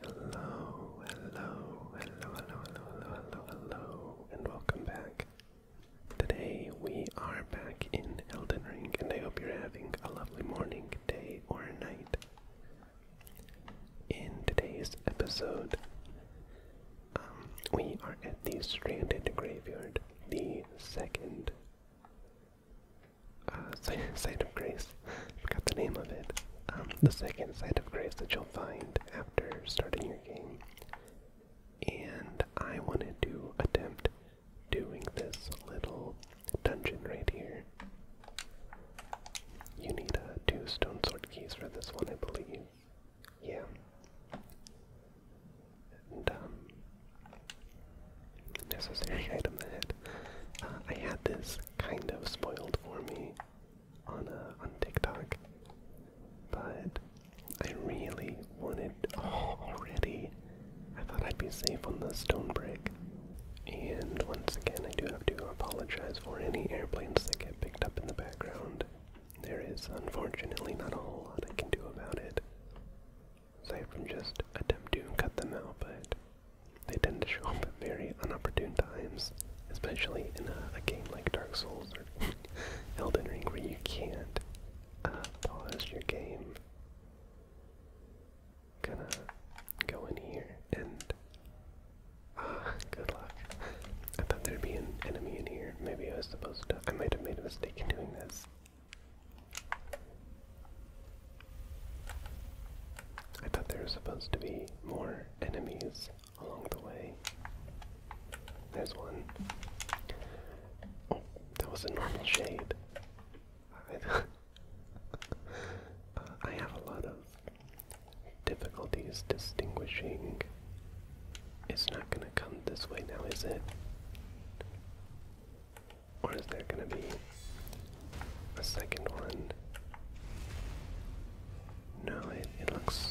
Hello, hello, hello, hello, hello, hello, hello, and welcome back. Today we are back in Elden Ring, and I hope you're having a lovely morning, day, or night. In today's episode, um, we are at the Stranded Graveyard, the second uh, site of grace. I forgot the name of it. Um, the second site of grace that you'll find after starting your game. And I wanted to attempt doing this little dungeon right here. You need uh, two stone sword keys for this one, I believe. Yeah. And, um, necessary item that uh, I had this kind of spoiled for me on uh, on TikTok, but I really I wanted already. I thought I'd be safe on the stone break. And once again, I do have to apologize for any airplanes that get picked up in the background. There is unfortunately not a whole lot I can do about it. Aside from just attempt to cut them out, but they tend to show up at very unopportune times, especially in a, game like Dark Souls or Elden Ring where you can't uh, pause your game Gonna go in here and ah, good luck. I thought there'd be an enemy in here. Maybe I was supposed to. I might have made a mistake in doing this. I thought there was supposed to be more enemies along the way. There's one. Oh, that was a normal shade. Uh, I have a lot of difficulties distinguishing. It's not going to come this way now, is it? Or is there going to be a second one? No, it, it looks.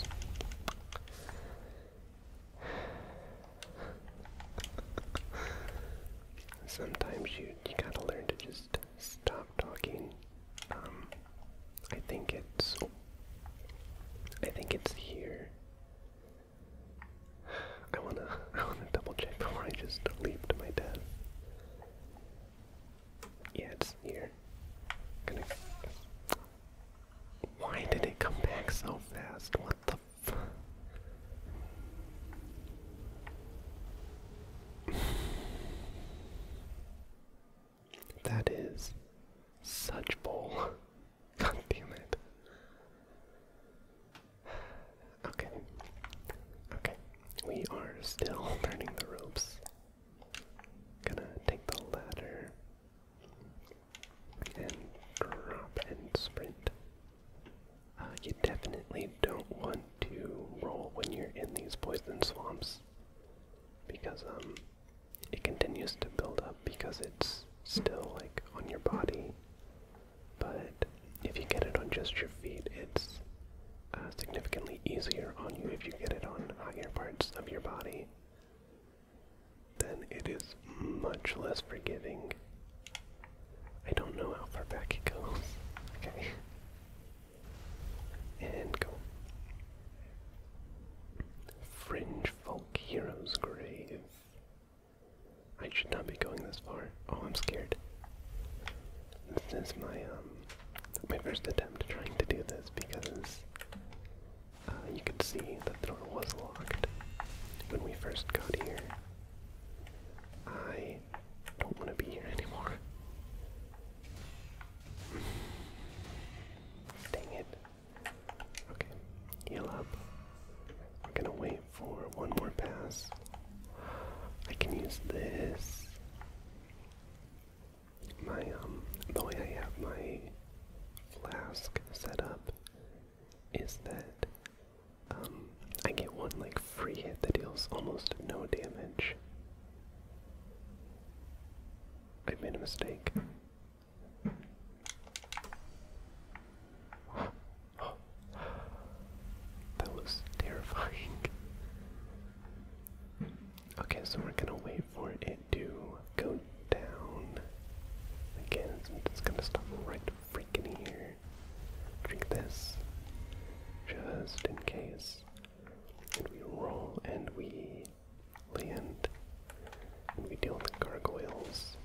Sometimes you you gotta learn to just stop talking. Um, I think it's I think it's here. I wanna I wanna double check before I just leap to my death. Yeah, it's here. Why did it come back so fast? What the that is such bull. God damn it. Okay. Okay. We are still burning the ropes. Gonna take the ladder and crop and sprint. Uh, you definitely don't want to roll when you're in these poison swamps because um, it continues to build up because it's still like on your body. But if you get it on just your feet, it's uh, significantly easier on you if you get it on higher parts of your body then it is much less forgiving. I don't know how far back it goes. Okay. And go. Fringe Folk Hero's Grave. I should not be going this far. Oh, I'm scared. This is my um my first attempt trying to do this because uh, you could see that the door was locked when we first got here. I don't want to be here anymore. Dang it. Okay, heal up. We're gonna wait for one more pass. I can use this. My um the way I have my flask set up is that um, I get one like free hit that deals almost no damage. I made a mistake. That was terrifying. Okay, so we're gonna wait for it to go down again. It's gonna stop right freak here. Drink this. Just in case. And we roll and we land. And we deal with gargoyles.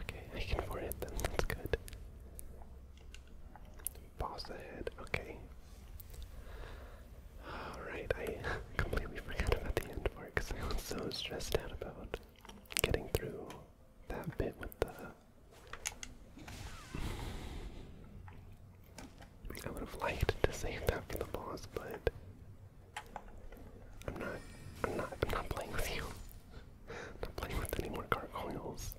Okay, I can forget them, that's good. Boss ahead, okay. Alright, I completely forgot about the end part because I was so stressed out about getting through that bit with the. I would have liked to save that for the boss, but I'm not. I'm not. I'm not playing with you. I'm not playing with any more gargoyles.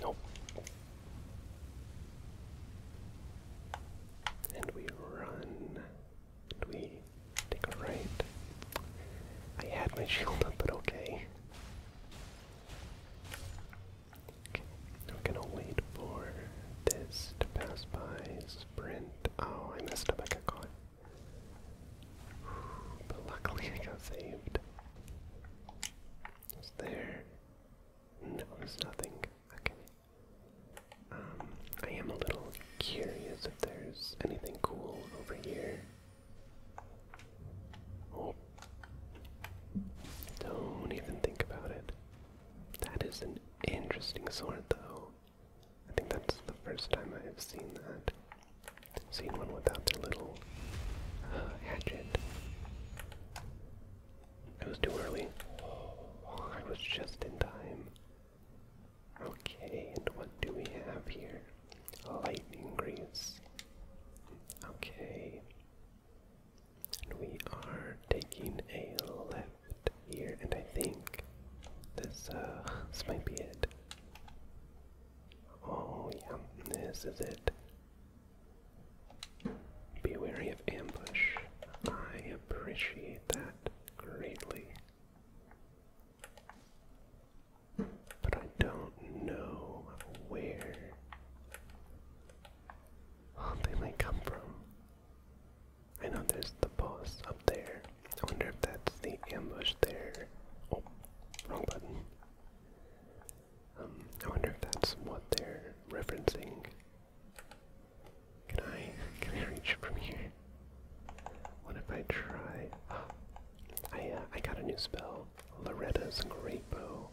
Nope. And we run. And we take a right. I had my shield up, but okay. Okay, we gonna wait for this to pass by. Sprint. Oh, I messed up. I got caught. But luckily, I got saved. Is there? No, there's nothing. Okay. Um, I am a little curious if there's anything cool over here. Oh. Don't even think about it. That is an interesting sword, though. I think that's the first time I have seen that. seen one without their little uh, hatchet. It was too early. I was just in time. Okay, and what do we have here? Lightning grease. Okay. And we are taking a left here, and I think this uh, this might be it. Oh yeah, this is it. Be wary of ambush. I appreciate that greatly. But I don't know where oh, they might come from. I know there's the boss up there. I wonder if that's the ambush there. Oh, wrong button. Um, I wonder if that's what they're referencing. Can I can I reach from here? What if I try? Oh, I uh, I got a new spell, Loretta's Great Bow.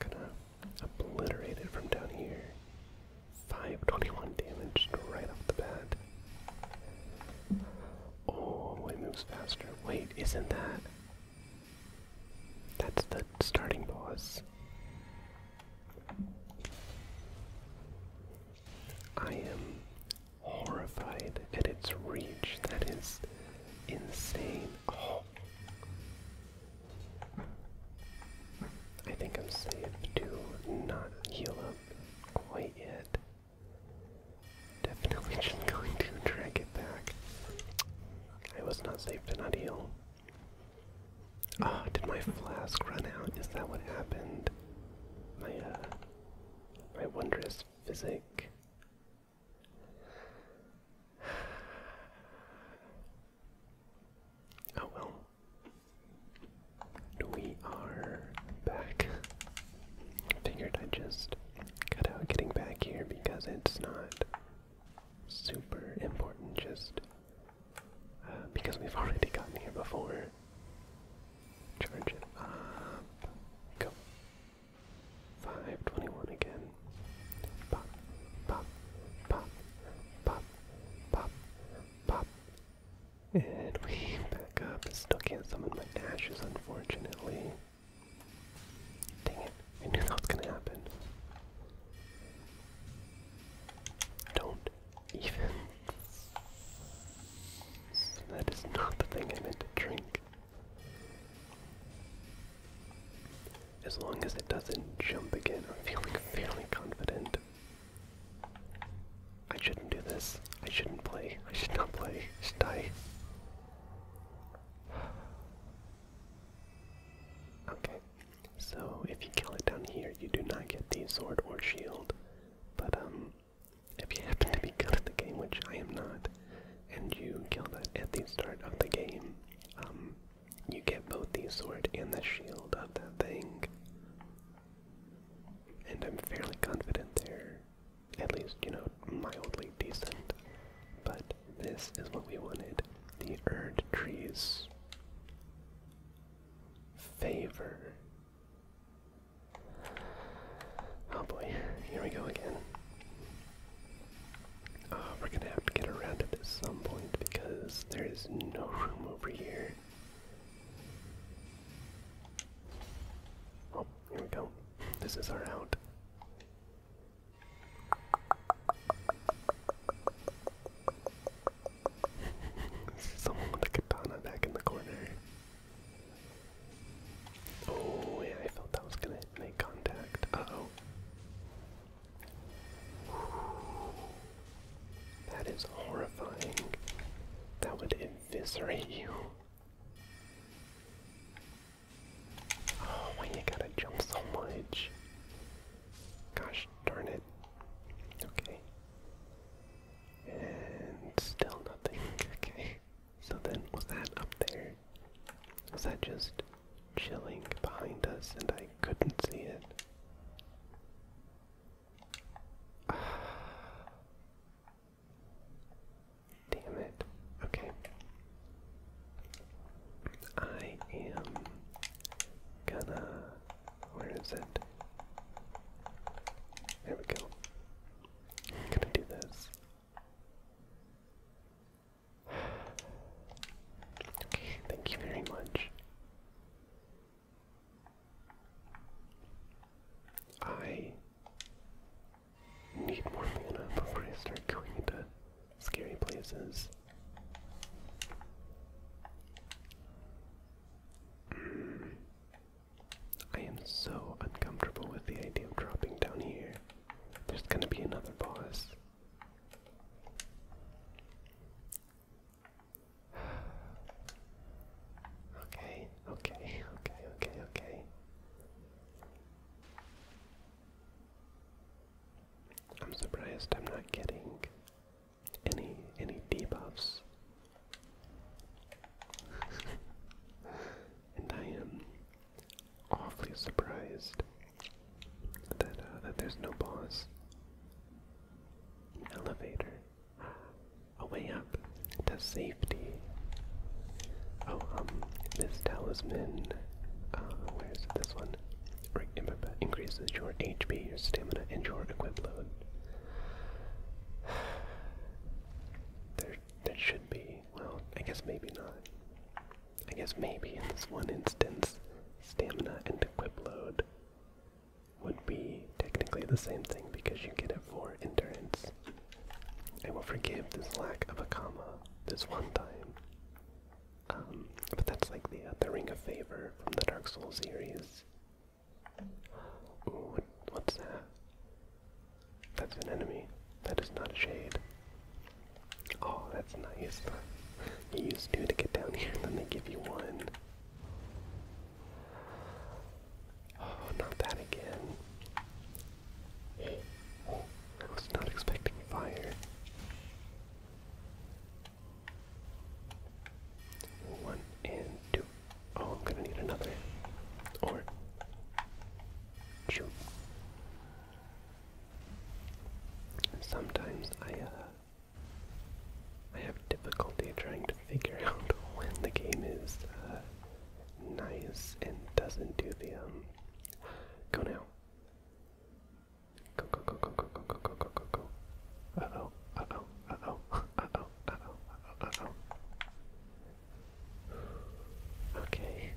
Gonna obliterate it from down here. 521 damage right off the bat. Oh, it moves faster. Wait, isn't that? That's the starting boss. I am horrified at its reach. That is insane. I think I'm safe to not heal up quite yet. Definitely just going to drag it back. I was not safe to not heal. Ah, oh, did my flask run out? Is that what happened? My uh my wondrous physic. Oh well. We are back. Figured I just cut out getting back here because it's not super important, just because we've already gotten here before. Charge it up. Go. 521 again. Pop, pop, pop, pop, pop, pop. And we back up. Still can't summon my dashes, unfortunately. Dang it. I knew that was gonna happen. Don't even. That is not the thing I meant to drink. As long as it doesn't jump again, I'm feeling fairly confident. I shouldn't do this. I shouldn't play. I should not play. I should die. Okay, so if you kill it down here, you do not get the sword or shield. But um, if you happen to be good at the game, which I am not, and you kill it at the start of the game, um, you get both the sword and the shield of that thing. And I'm fairly confident they're at least, you know, mildly decent. But this is what we wanted. The Erd Trees favor. Oh boy, here we go again. Uh, we're gonna have to get around it at some point because there is no room over here. Oh, here we go. This is our out someone with a katana back in the corner. Oh yeah, I felt that was gonna make contact. Uh-oh. That is horrifying. That would eviscerate you. Oh, why you gotta jump so much? Gosh damage. Darn it. Okay. And still nothing. Okay. So then, was that up there? Was that just chilling behind us and I couldn't see it? Damn it. Okay. I am gonna. Where is it? There we go. gonna do this. Okay, thank you very much. I need more mana before I start going into scary places. I am so uncomfortable with the idea of dropping down here. There's gonna be another boss. okay, okay, okay, okay, okay. I'm surprised I'm not getting any any debuffs. and I am awfully surprised that uh, that there's no boss. elevator. A way up to safety. Oh, um, this talisman. Uh, where is it? This one increases your HP, your stamina, and your equip load. There, there should be. Well, I guess maybe not. I guess maybe in this one instance, stamina and equip load would be technically the same thing because you get it for endurance. I will forgive this lack of a comma this one time but that's like the, uh, the Ring of Favor from the Dark Souls series. what's that? That's an enemy. That is not a shade. Oh, that's nice. You use two to get down here, then they give you one. Oh, not that again. I was not expecting fire. One and two. Oh, I'm gonna need another. Or. Shoot. Sometimes I, uh, I have difficulty trying to figure out when the game is, uh, Nice and doesn't do the, um. Go now. Go, go, go, go, go, go, go, go, go, go. Uh-oh, uh-oh, uh-oh, uh-oh, uh-oh, uh-oh, uh-oh. Okay.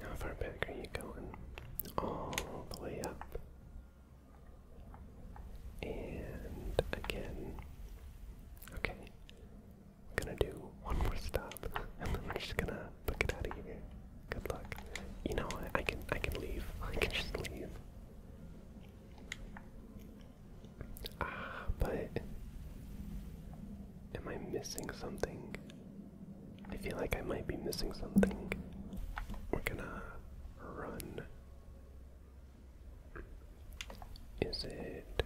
How far back are you going? All the way up. And again. Okay. gonna do one more stop, and then just gonna get out of here. Good luck. You know I can I can leave. I can just leave. Ah, but am I missing something? I feel like I might be missing something. We're gonna run. Is it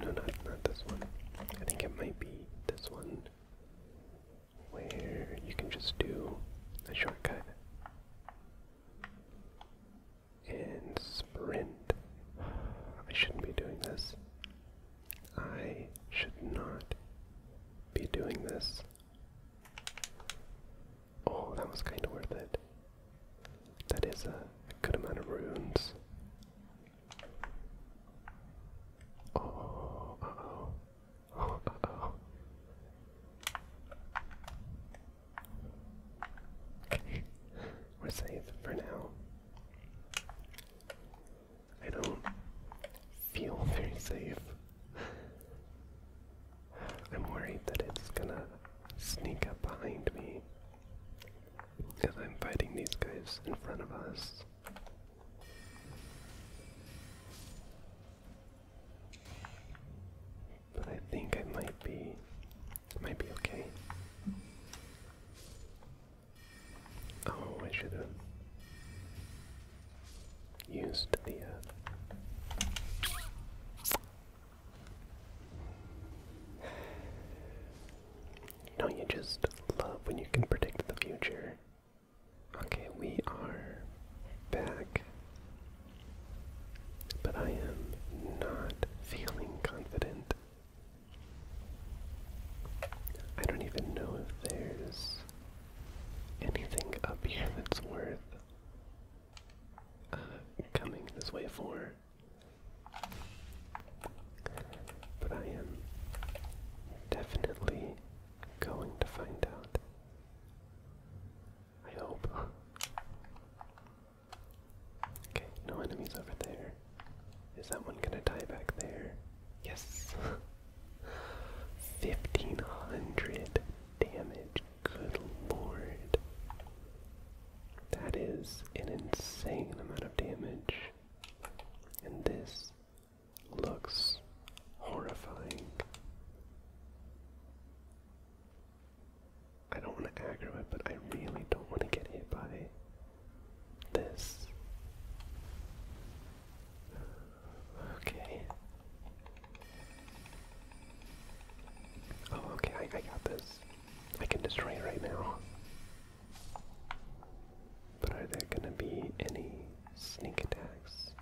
no not not this one. I think it might be this one where you can just do a shortcut and sprint. I shouldn't be doing this. I should not be doing this. Oh, that was kind of worth it. That is a good amount of runes. Oh, uh oh. Okay, we're safe for now. I don't feel very safe. I'm worried that it's gonna sneak up behind me. Because I'm fighting these guys in front of us. But I think I might be might be okay. Oh, I should have used the uh No, you just love when you can predict the future. Okay, we are back. But I am not feeling confident. I don't even know if there's anything up here that's worth uh, coming this way for. But I am definitely going to find out. I hope. Okay, no enemies over there. Is that one gonna die back there? Yes! 1500 damage. Good lord. That is an insane amount of damage. In this looks horrifying. I don't want to aggro but I really don't want to get hit by this. Okay. Oh, okay, I, I got this. I can destroy it right now. But are there going to be any sneak attacks?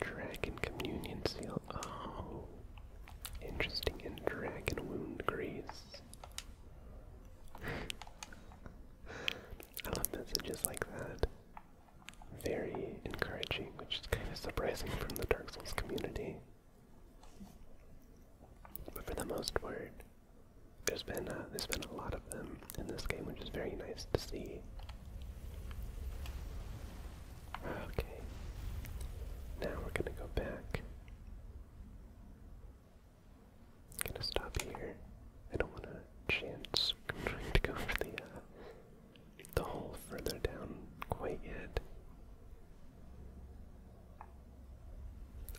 Dragon Communion Seal. Oh. Interesting. in Dragon Wound Grease. I love messages like that. Very encouraging, which is kind of surprising from the Dark Souls community. But for the most part, there's been there's been a lot of them in this game, which is very nice to see. Okay, now we're gonna go back. gonna stop here. I don't want to chance trying to go for the uh, the hole further down quite yet.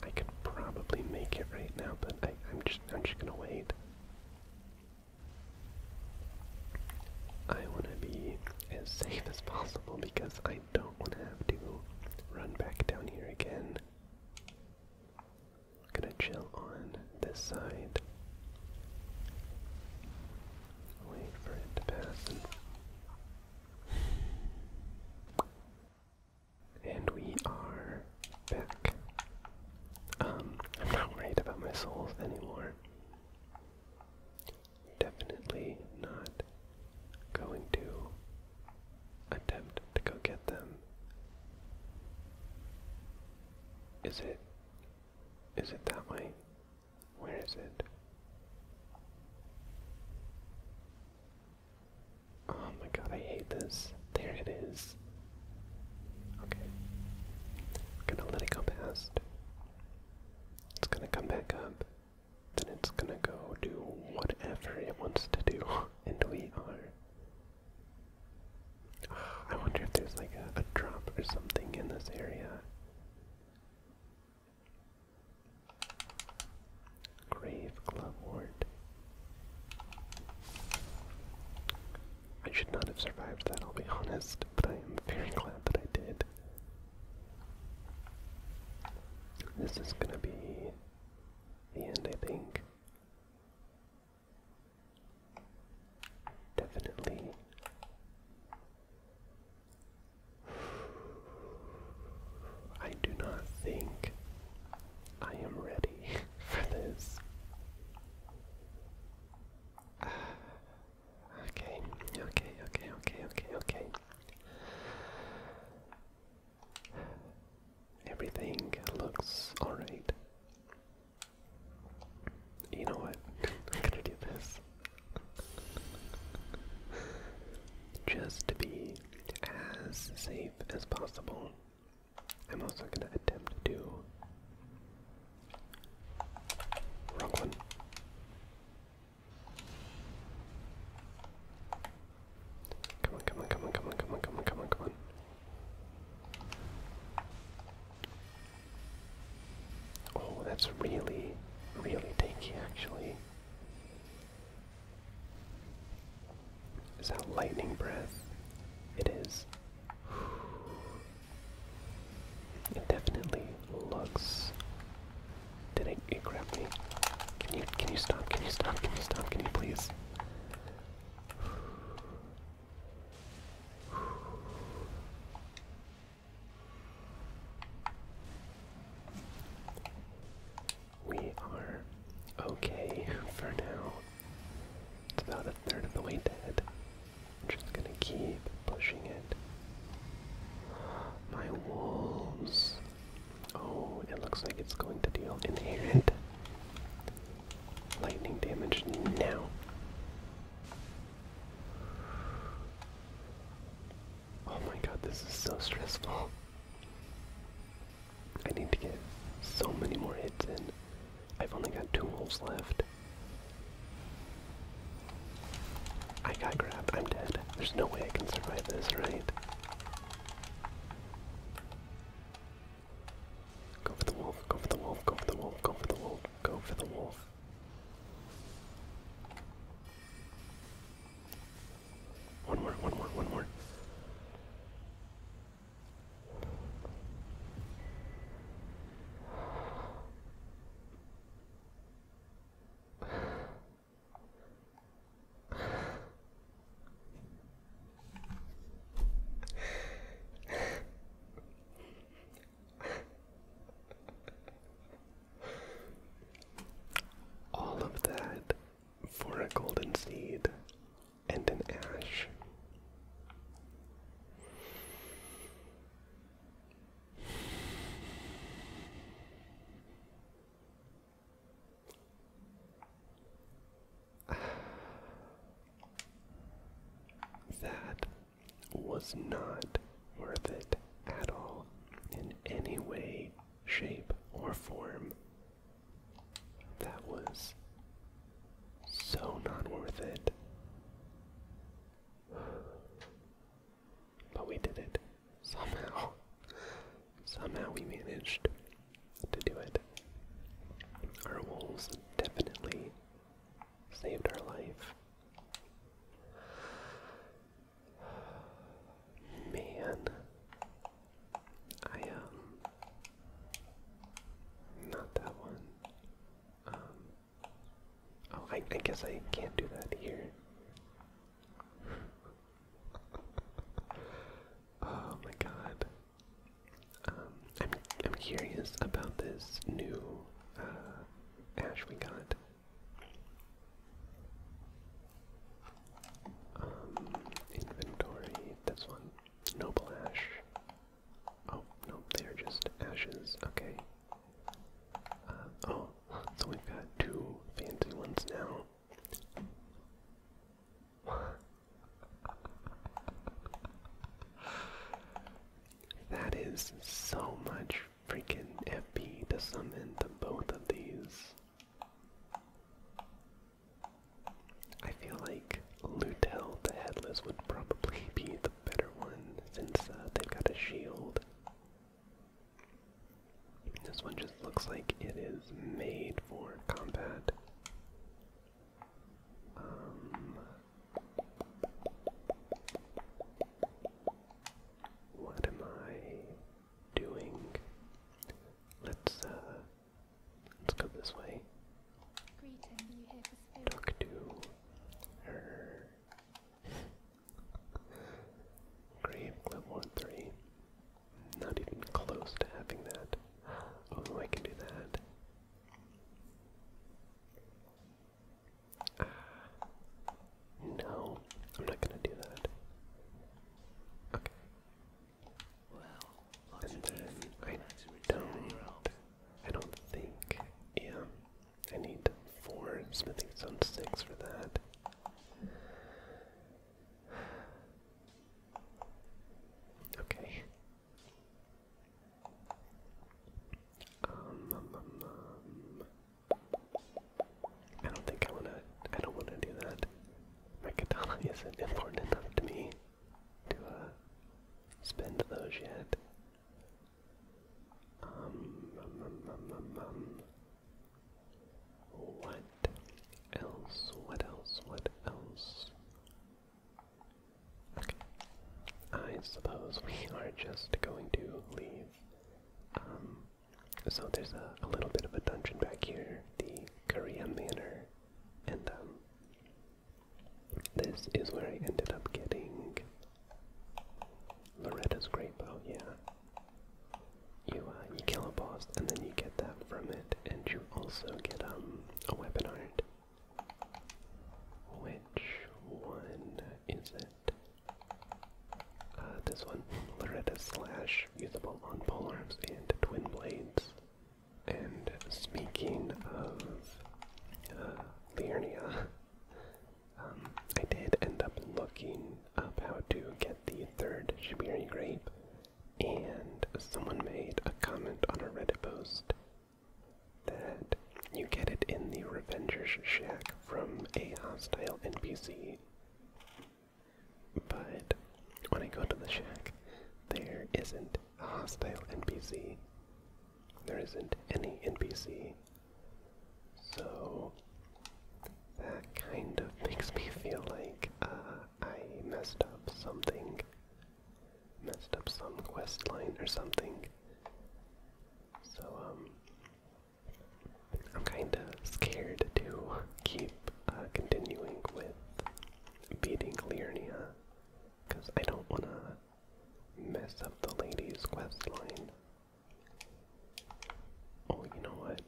I could probably make it right now, but I, am just I'm just gonna wait. I want to be as safe as possible because I don't want to have to run back down here again. I'm gonna chill on this side. Wait for it to pass. And we are back. Um, I'm not worried about my souls anymore. Definitely not going to attempt to go get them. Is it is it that way? Where is it? Oh my god, I hate this. There it is. Okay. gonna let it go past. It's gonna come back up. Then it's gonna go do whatever it wants to do. And we are. I wonder if there's like a drop or something in this area. Grave Club Ward. I should not have survived that, I'll be honest, but I am very glad that I did. This is gonna be the end, I think. Definitely. I do not think I am ready for this. okay, okay, okay, okay, okay, okay. Everything looks alright. You know what? I'm gonna do this. Just to be as safe as possible. I'm also going to attempt to. Come on, come on, come on, come on, come on, come on, come on, come on. Oh, that's really, really tanky actually. Is that lightning breath? It is. It definitely looks. Did it, grab me? Can you can you stop? Can you stop? Can you stop? Can you please? we are okay for now. It's about a third of the way dead. I'm just gonna keep pushing it. My walls. Oh, it looks like it's going to deal inherent lightning damage now. Oh my god, this is so stressful. I need to get so many more hits in. I've only got two wolves left. I got grabbed. I'm dead. There's no way I can survive this, right? Go for the wolf, go for the wolf, go for the wolf, go for the wolf, go for the wolf. One more, one more, one more. All of that for a golden seed and an ash. That was not worth it at all in any way, shape, or form. That was so not worth it. But we did it. Somehow. Somehow we managed to do it. Our wolves definitely saved our life. Man, I, um, not that one. Um, oh, I, I guess I can't do that here. oh my god. Um, I'm, I'm curious about this new, uh, ash we got. Um, inventory, this one. Noble ash. Oh, no, they're just ashes. Okay. Uh, oh, so we've got two fancy ones now. that is so much freaking FP to summon to both of these. I feel like Lutel the Headless would probably be the better one since uh, they've got a shield. This one just looks like it is made for combat. Um, what am I? doing. Let's uh let's go this way. Talk to her. Grave level three. Not even close to having that. Oh I can do that. Ah. no, I'm not gonna do that. Okay. And then I don't, I don't think, yeah, I need four smithing on six for that. Okay. Um, um, um, I don't think I wanna I don't wanna do that. My katana isn't important enough to me to uh, spend those yet. Um, um, um, um. What else? What else? What else? Okay. I suppose we are just going to leave um so there's a, little bit of a dungeon back here, the Korea Manor, and um, this is where I ended up getting Loretta's Great Bow. Yeah, you uh, you kill a boss and then you get that from it, and you also get um a weapon art. Which one is it? Uh, this one, Loretta Slash, usable on polearms and twin blades. And speaking of uh, um, I did end up looking up how to get the third Shibiri grape, and someone made a comment on a Reddit post that you get it in the Revenger's Shack from a hostile NPC. But when I go to the shack, there isn't a hostile NPC. There isn't any NPC. So that kind of makes me feel like uh, I messed up something. Messed up some quest line or something. So, um, I'm kind of scared to keep uh, continuing with beating Lyrnia because I don't want to mess up the lady's quest line. Oh, you know what?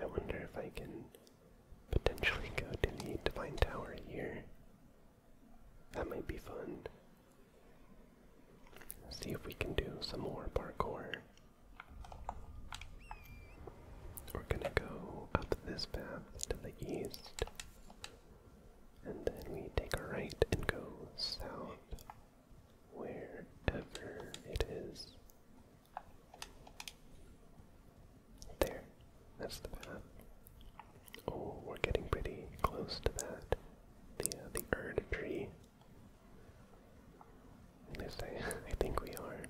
I wonder if I can potentially go to the Divine Tower here. That might be fun. See if we can do some more parkour. We're gonna go up this path to the east, and then we take a right and go south wherever it is. There, that's the path. Oh, we're getting pretty close to that. The uh, the Erd tree at least I, think we are.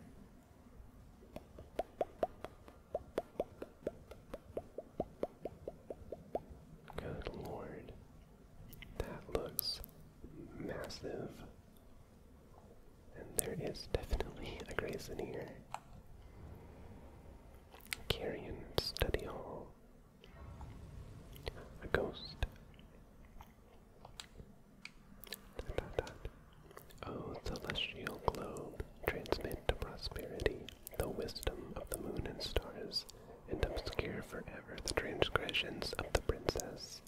Good lord. That looks massive. And there is definitely a Grayson here. Carrion Study Hall. A ghost. Dot, Oh, celestial globe, transmit to prosperity the wisdom of the moon and stars, and obscure forever the transgressions of the princess.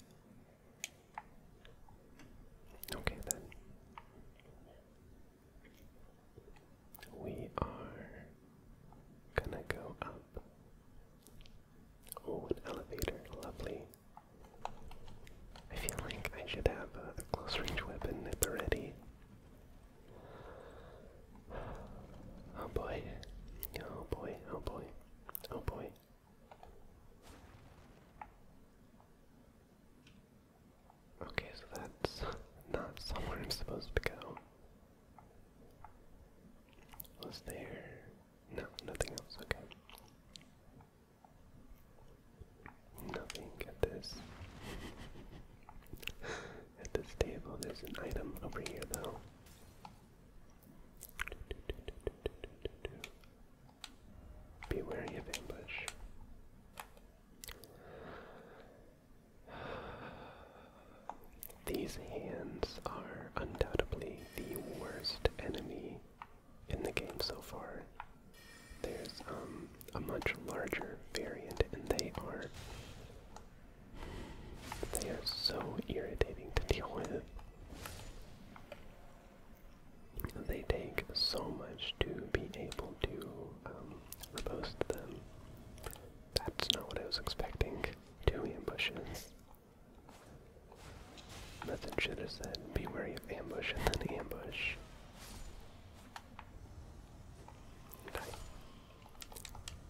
Okay, then. We are gonna go up Oh, an elevator, lovely. I feel like I should have a close range weapon if the ready. Oh boy. Oh boy, oh boy, oh boy. Okay, so that's not somewhere I'm supposed to go. Was there? No, nothing else, okay. Nothing at this. at this table, there's an item over here, though. Be wary of ambush. These hands are undoubtedly the worst enemy in the game so far. There's um, a much larger variant, and they are they are so irritating to deal with. They take so much to be able to um, them. That's not what I was expecting. Two ambushes. Nothing should have said, be wary of ambush and then ambush. Okay.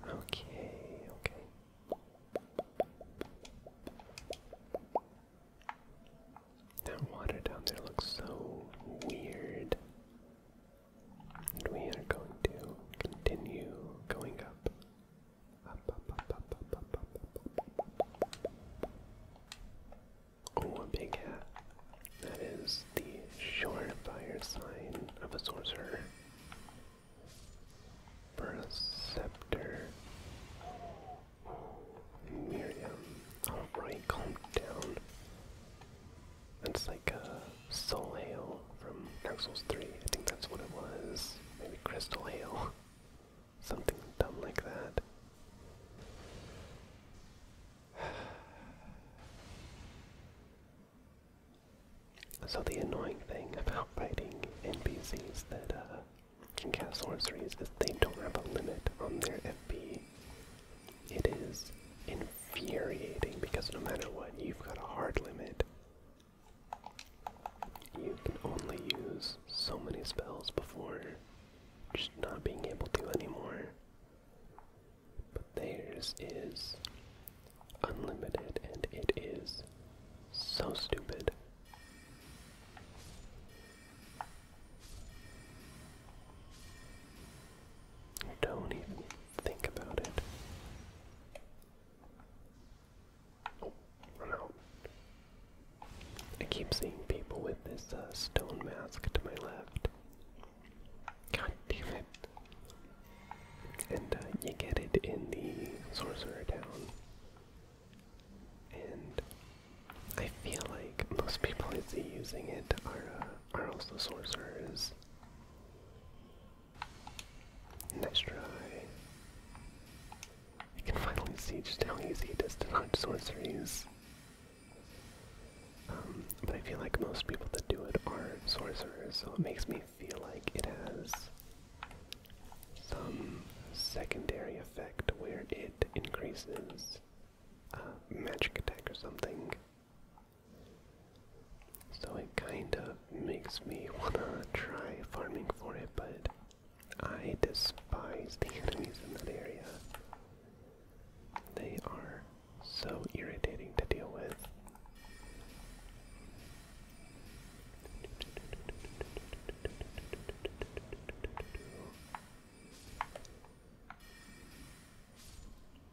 Okay, okay. That water down there looks so weird. And we are going to continue going up. Oh, a big hat. That is the surefire sign of a sorcerer. Perceptor. Miriam. Alright, calm down. That's like a soul hail from Axels 3. I think that's what it was. Maybe Crystal Hail. Something dumb like that. So the annoying thing about fighting NPCs that uh, can cast sorceries is they don't have a limit on their FP. It is infuriating because no matter what, you've got a hard limit. You can only use so many spells before just not being able to anymore. But theirs is unlimited and it is so stupid. Don't even think about it. I keep seeing people with this uh, stone mask to my left. God damn it. And uh, you get it in the Sorcerer Town. And I feel like most people I see using it are, uh, are also sorcerers. Nice try. I can finally see just how easy it is to dodge sorceries. Um, but I feel like most people that do it are sorcerers, so it makes me feel like it has some secondary effect where it increases uh, magic attack or something. So it kind of makes me wanna try farming for it, but I despise the enemies in that area. They are so irritating to deal with.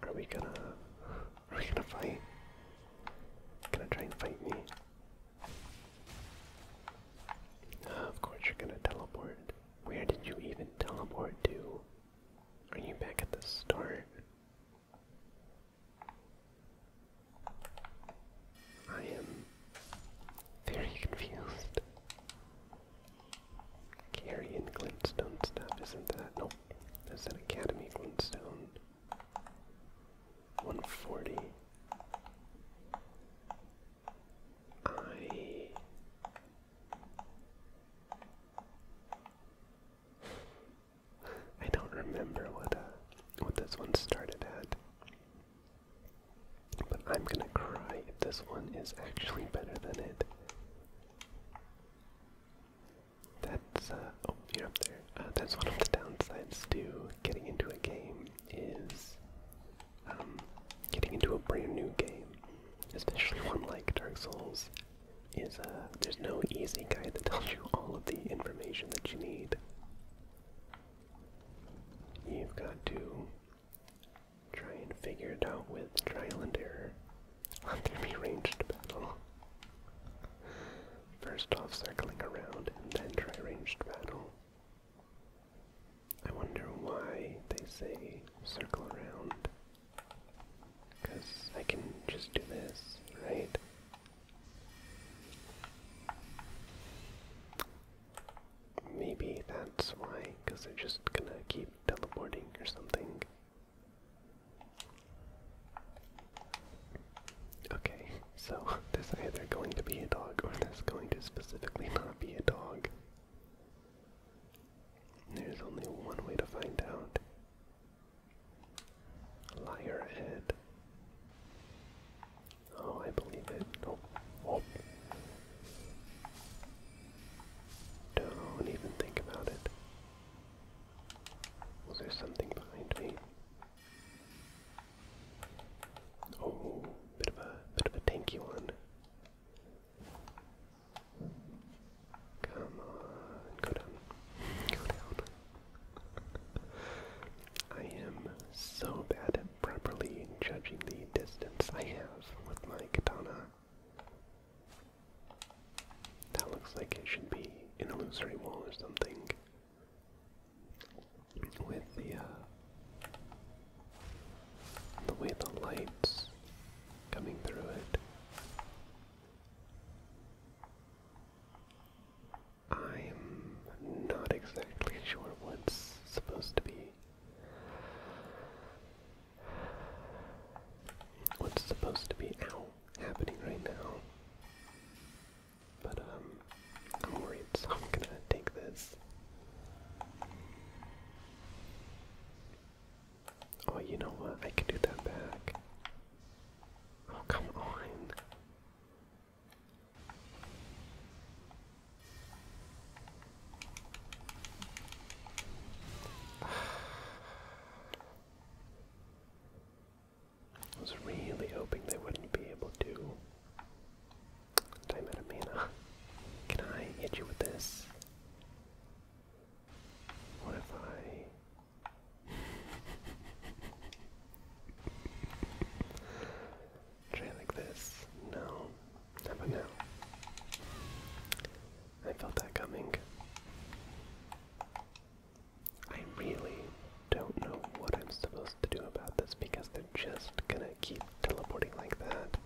Are we gonna are we gonna fight? Gonna try and fight me? Uh, of course you're gonna teleport. Where did you even teleport to? Are you back at the start? I am very confused. Carrion Glintstone stuff, isn't that? Nope. That's an Academy Glintstone one forty. I I don't remember what uh, what this one started at. But I'm gonna cry if this one is actually better than it that's uh, oh you're up there. Uh, that's one of the downsides to getting into a game is um, getting into a brand new game, especially one like Dark Souls. Is uh, there's no easy guide that tells you all of the information that you need. You've got to try and figure it out with trial and error. Let there be battle. First off circling around and then try ranged battle. I wonder why they say circle around. Because I can just do this, right? Maybe that's why, because they're just gonna keep teleporting or something. Okay, so there's either going to be a dog or there's going to specifically not be a dog. There's only one way to find out. Liar head. Oh, I believe it. Oh, oh. Don't even think about it. Was there something behind me? Oh, bit of a bit of a tanky one. Come on, go down. Go down. I am so bad at properly judging the distance I have with my katana. That looks like it should be an illusory wall or something with the uh, the way the lights coming through it. I'm not exactly sure what's supposed to be what's supposed to be happening right now. But um, I'm worried, I'm gonna take this. Oh, you know what? I can do that back. Oh, come on. I was really hoping they wouldn't be able to. Time out Can I hit you with this? What if I try like this? No. How about I felt that coming. I really don't know what I'm supposed to do about this because they're just gonna keep teleporting like that.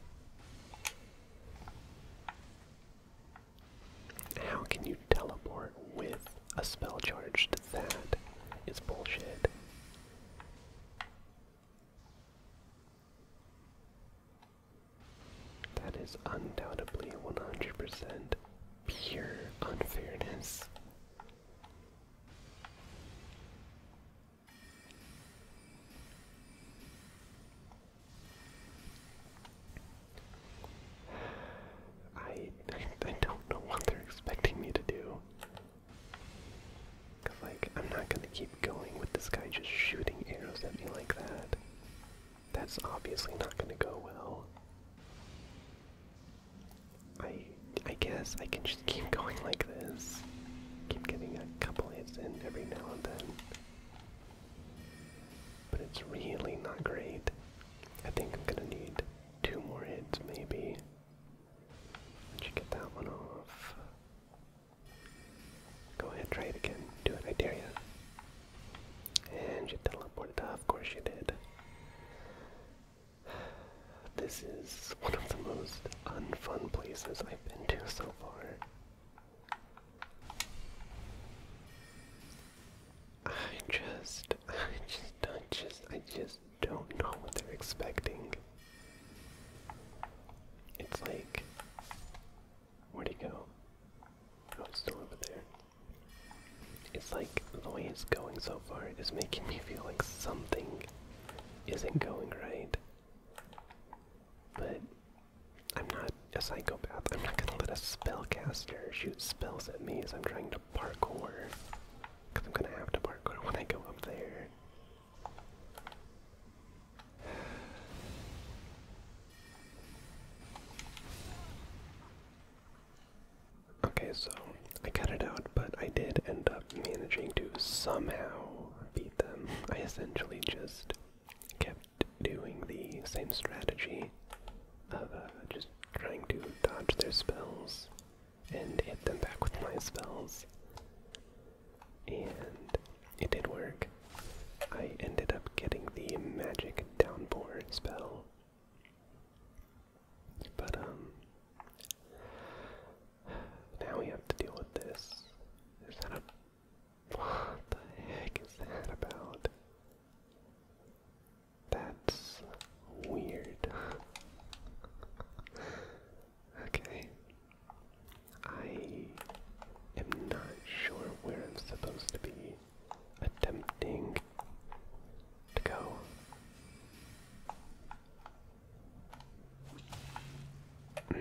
How can you teleport with a spell charged? That is bullshit. That is undoubtedly 100% pure unfairness. I, I don't know what they're expecting me to do. like, I'm not gonna keep going with this guy just shooting arrows at me like that. That's obviously not gonna go well. I I guess I can just keep going like this. Keep getting a couple hits in every now and then. But it's really not great. I think I'm gonna need two more hits maybe. Let you get that one off. Go ahead, try it again. Do it, I dare you. And you teleported, of course you did. This is one of the most unfun places I've been to so far. I just, I just do just, I just don't know what they're expecting. It's like, where'd he go? Oh, it's still over there. It's like the way it's going so far is making me feel like something isn't going right. But I'm not a psychopath. I'm not gonna let a spellcaster shoot spells at me as I'm trying to parkour. Because I'm gonna have to parkour when I go up there. Okay, so I cut it out, but I did end up managing to somehow beat them. I essentially just kept doing the same strategy of uh, just trying to dodge their spells and hit them back with my spells. And it did work. I ended up getting the magic downpour spell. But, um, now we have to deal with this. Is that a. What the heck is that about? That's weird. okay. I am not sure where I'm supposed to be attempting to go. Mm.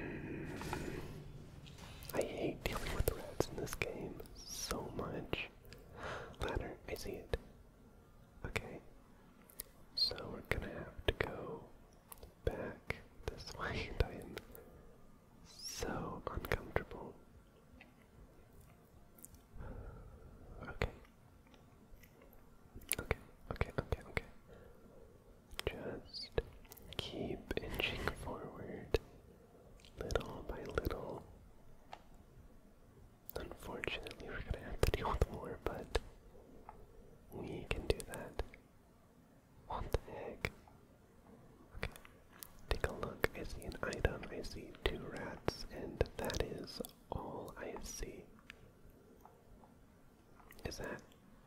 I hate dealing with rats in this game so much. Ladder, I see it. Okay. So we're gonna have to go back this way, I am so uncomfortable Okay. Okay, okay, okay, okay. Just keep inching forward little by little. Unfortunately, we're gonna have to deal with more, but we can do that. What the heck? Okay. Take a look. I see an item. I see two rats and that is all I see. Is that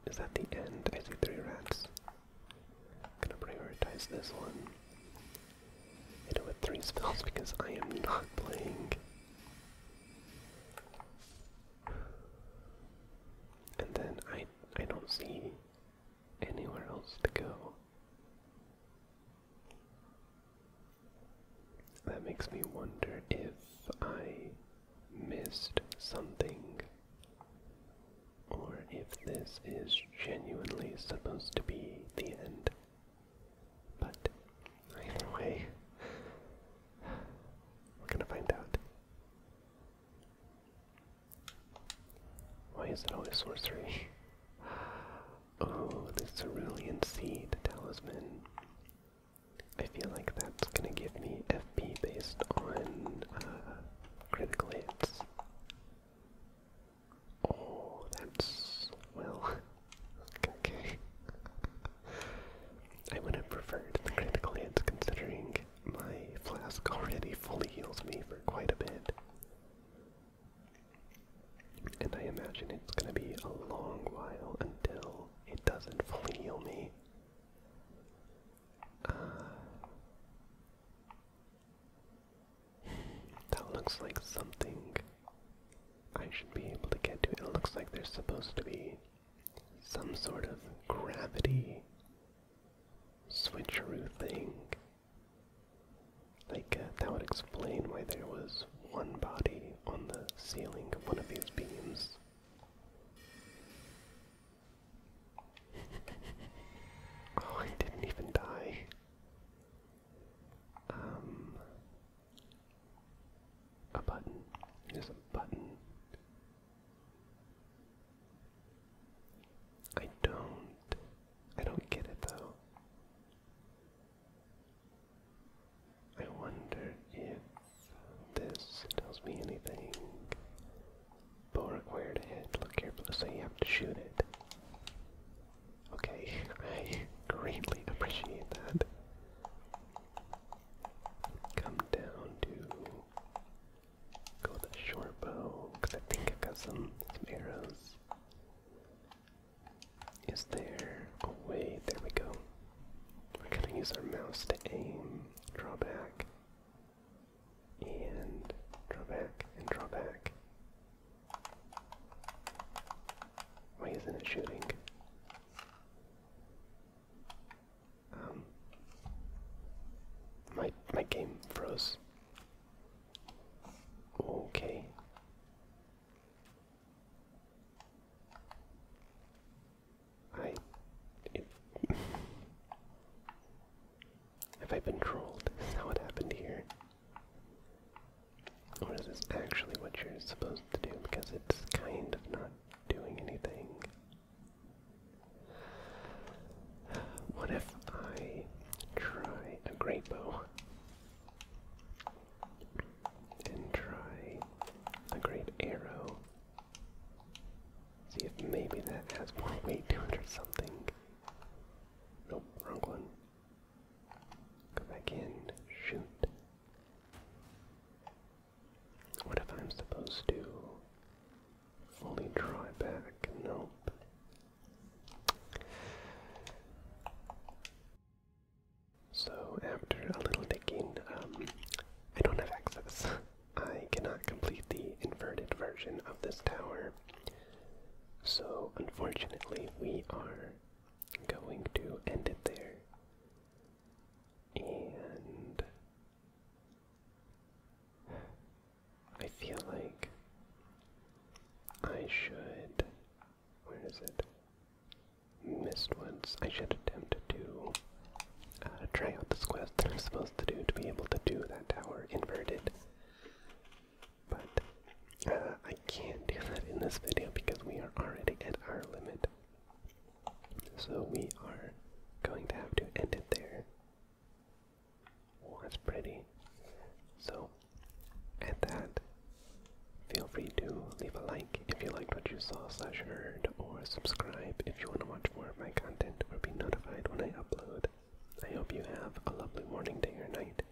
is that the end? I see three rats. I'm gonna prioritize this one. I do it with three spells because I am not playing. And then I I don't see anywhere else to go. That makes me wonder if I missed something or if this is genuinely supposed to be the end. But either way, we're gonna find out. Why is it always sorcery? Oh, the Cerulean Seed Talisman. I feel like that's gonna give me FP based on uh, critical hits. Oh, that's. well. okay. I would have preferred the critical hits considering my flask already fully heals me for quite a bit. And I imagine it's going to be a long while until it doesn't fully heal me. Uh, that looks like something I should be able to get to. It looks like there's supposed to be some sort of gravity switcheroo thing like, uh, that would explain why there was one body on the ceiling of one of these beams. oh, I didn't even die. Um, a button. There's a button. I don't. I don't get it though. I wonder if this tells me anything. Bow required hit. Look carefully. so you have to shoot it. Okay, I greatly appreciate that. Come down to go with a short bow because I think i got some some arrows. Is there a way? There we go. We're gonna use our mouse to aim, draw back, and draw back, and draw back. Why isn't it shooting? Um, my my game froze. Okay. I. have I been trolled? Is that what happened here? Or is this actually what you're supposed to do? Because it's kind of not doing anything. What if I try a great bow? and try a great arrow. See if maybe that has more weight to or something. Nope, wrong one. Go back in, shoot. What if I'm supposed to fully draw back? Nope. So, after a little digging, um, I don't have access. I cannot complete the inverted version of this tower. So, unfortunately, we are going to end it there. And I feel like I should where is it? Missed once. I should attempt to uh, try out this quest that I'm supposed to do to be able to do that tower inverted. But uh, I can't do that in this video because we are already at our limit. So we are going to have to end it there. Oh, that's pretty. So at that, feel free to leave a like if you liked what you saw slash heard, or subscribe if you want to watch more of my content or be notified when I upload. I hope you have a lovely morning, day, or night.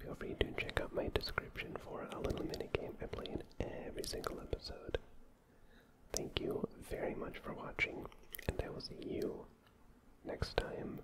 Feel free to check out my description for a little mini game I play in every single episode. Thank you very much for watching, and I will see you next time.